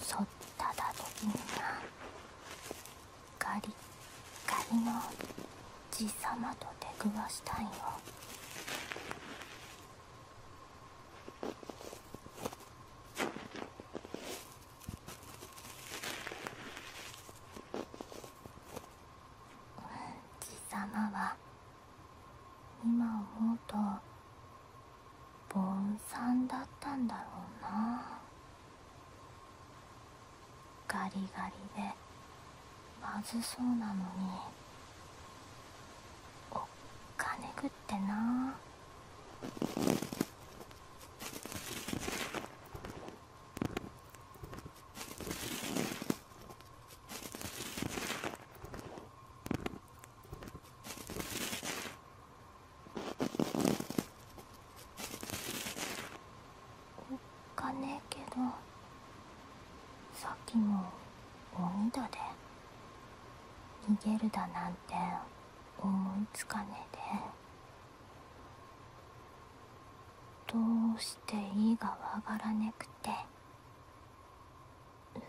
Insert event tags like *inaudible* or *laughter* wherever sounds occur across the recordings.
そっただ時になガリガリの爺様と出くわしたいよ爺様は今思うとボンさんだったんだろうなガリガリでまずそうなのにおっかねぐってなおっかねえけどさっきも鬼だで逃げるだなんて思いつかねえで。どうして意がわからねくて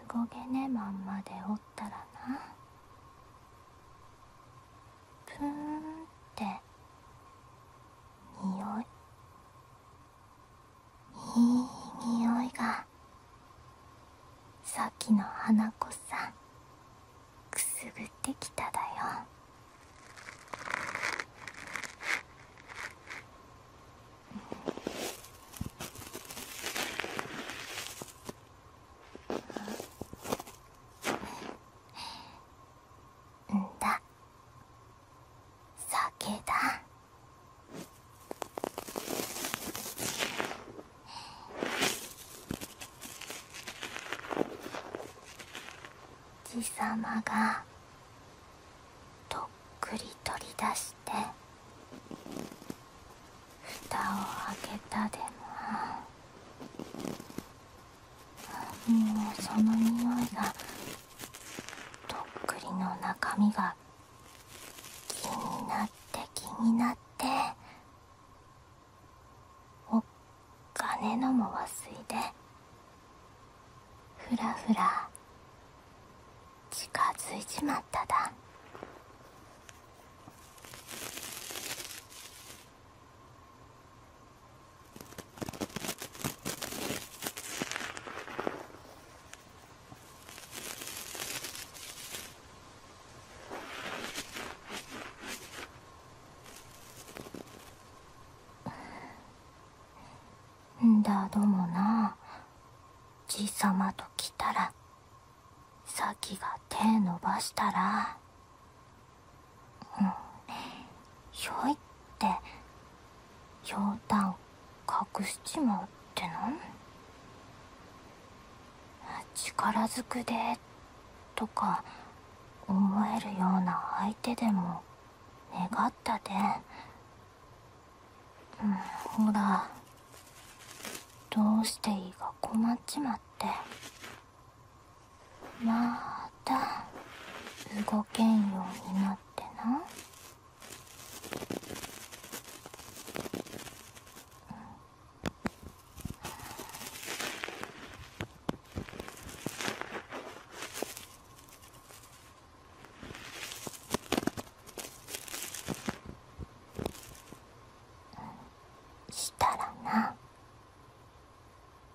動けねまんまでおったらなプーンって匂いいい匂いがさっきの花子さんくすぐってきただよ。んだ酒だ。じ貴様がとっくり取り出して蓋を開けたでももうその匂いがとっくりの中身が気になって気になって。おっかのも忘いでふらふら近づいちまっただんだどもな爺様と来たら咲きが手伸ばしたら、うん、ひいってひょうたん隠しちまうっての力ずくでとか思えるような相手でも願ったで、うん、ほらどうしていいか困っちまってまた動けんようになってな。したらな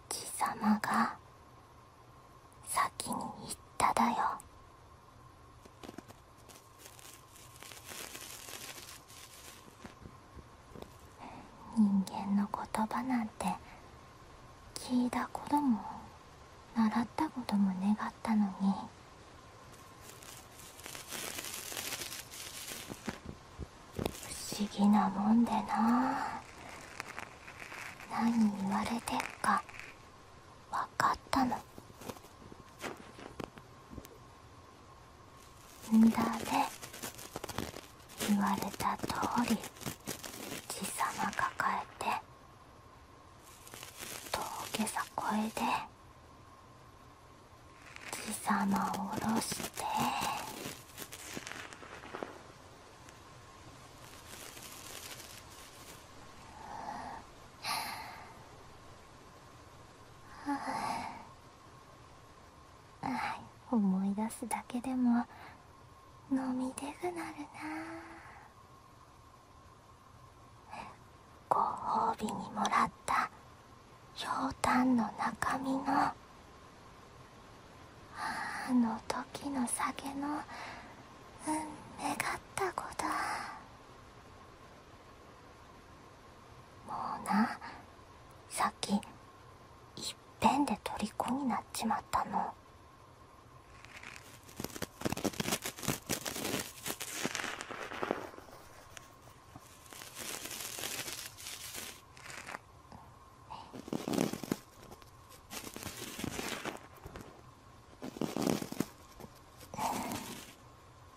貴様が先に言っただよ人間の言葉なんて聞いたことも習ったことも願ったのに不思議なもんでな何言われてっか分かったのんだね言われたとおり爺様抱えて峠さこえで爺様を下ろしてはあ。は思い出すだけでも飲みでぐなるなご褒美にもらったひょうたんの中身のあの時の酒のうん、願った子だもうなさっきいっぺんで虜になっちまったの。う。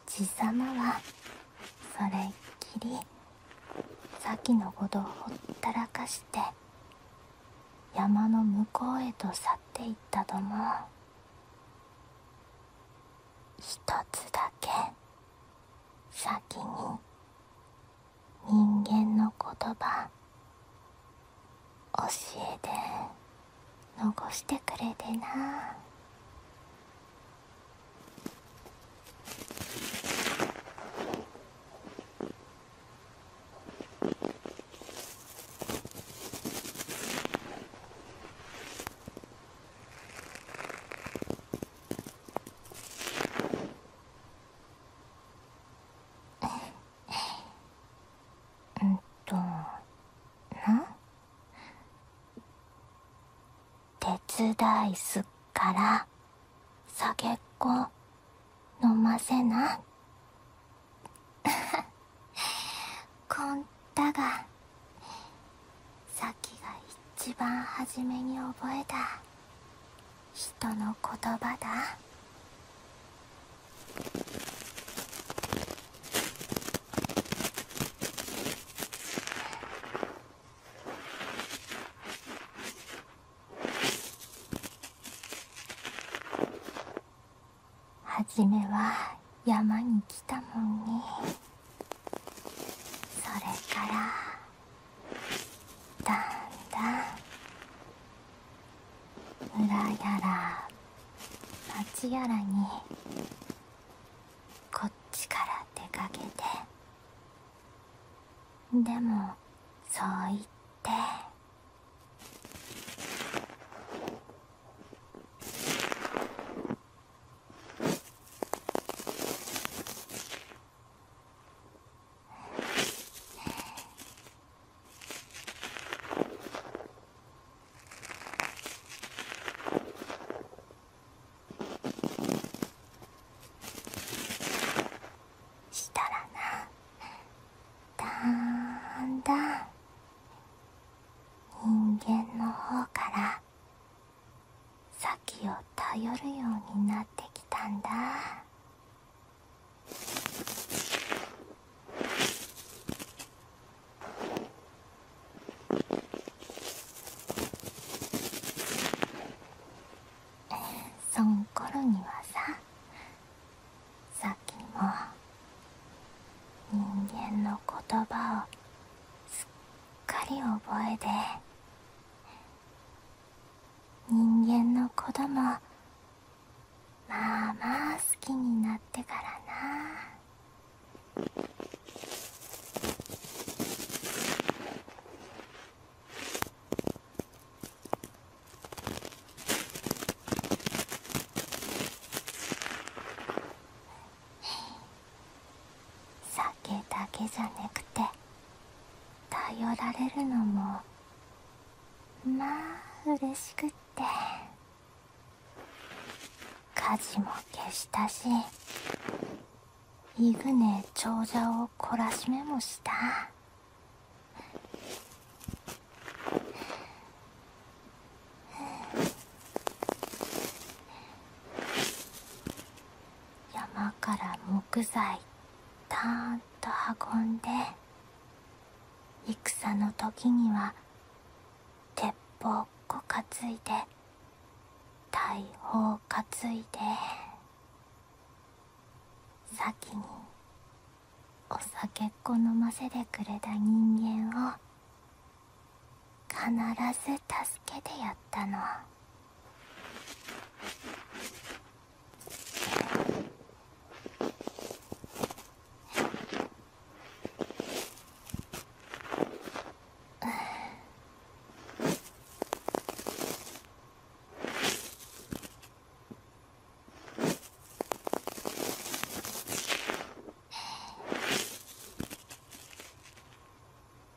爺様はそれっきり先のことをほったらかして山の向こうへと去っていったども一つだけ先に人間の言葉教えて。残してくれてな *laughs* うんとな手伝いすっから酒っこ飲ませな *laughs* こんたがさっきが一番初めに覚えた人の言葉だ初めは山に来たもんねそれからだんだん村やら町やらにこっちから出かけてでもそう言ってしたらなだんだん人間の方から先を頼るようになってきたんだそんころにはささっきも人間の言葉をすっかり覚えて人間の子供まあまあ好きになってからな酒だけじゃなくて頼られるのもまあ嬉しくって火事も消したしイグネ長者を懲らしめもした山から木材たんと運んで。戦の時には鉄砲っこ担いで大砲担いで先にお酒っこ飲ませてくれた人間を必ず助けてやったの。ええ。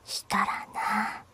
しからな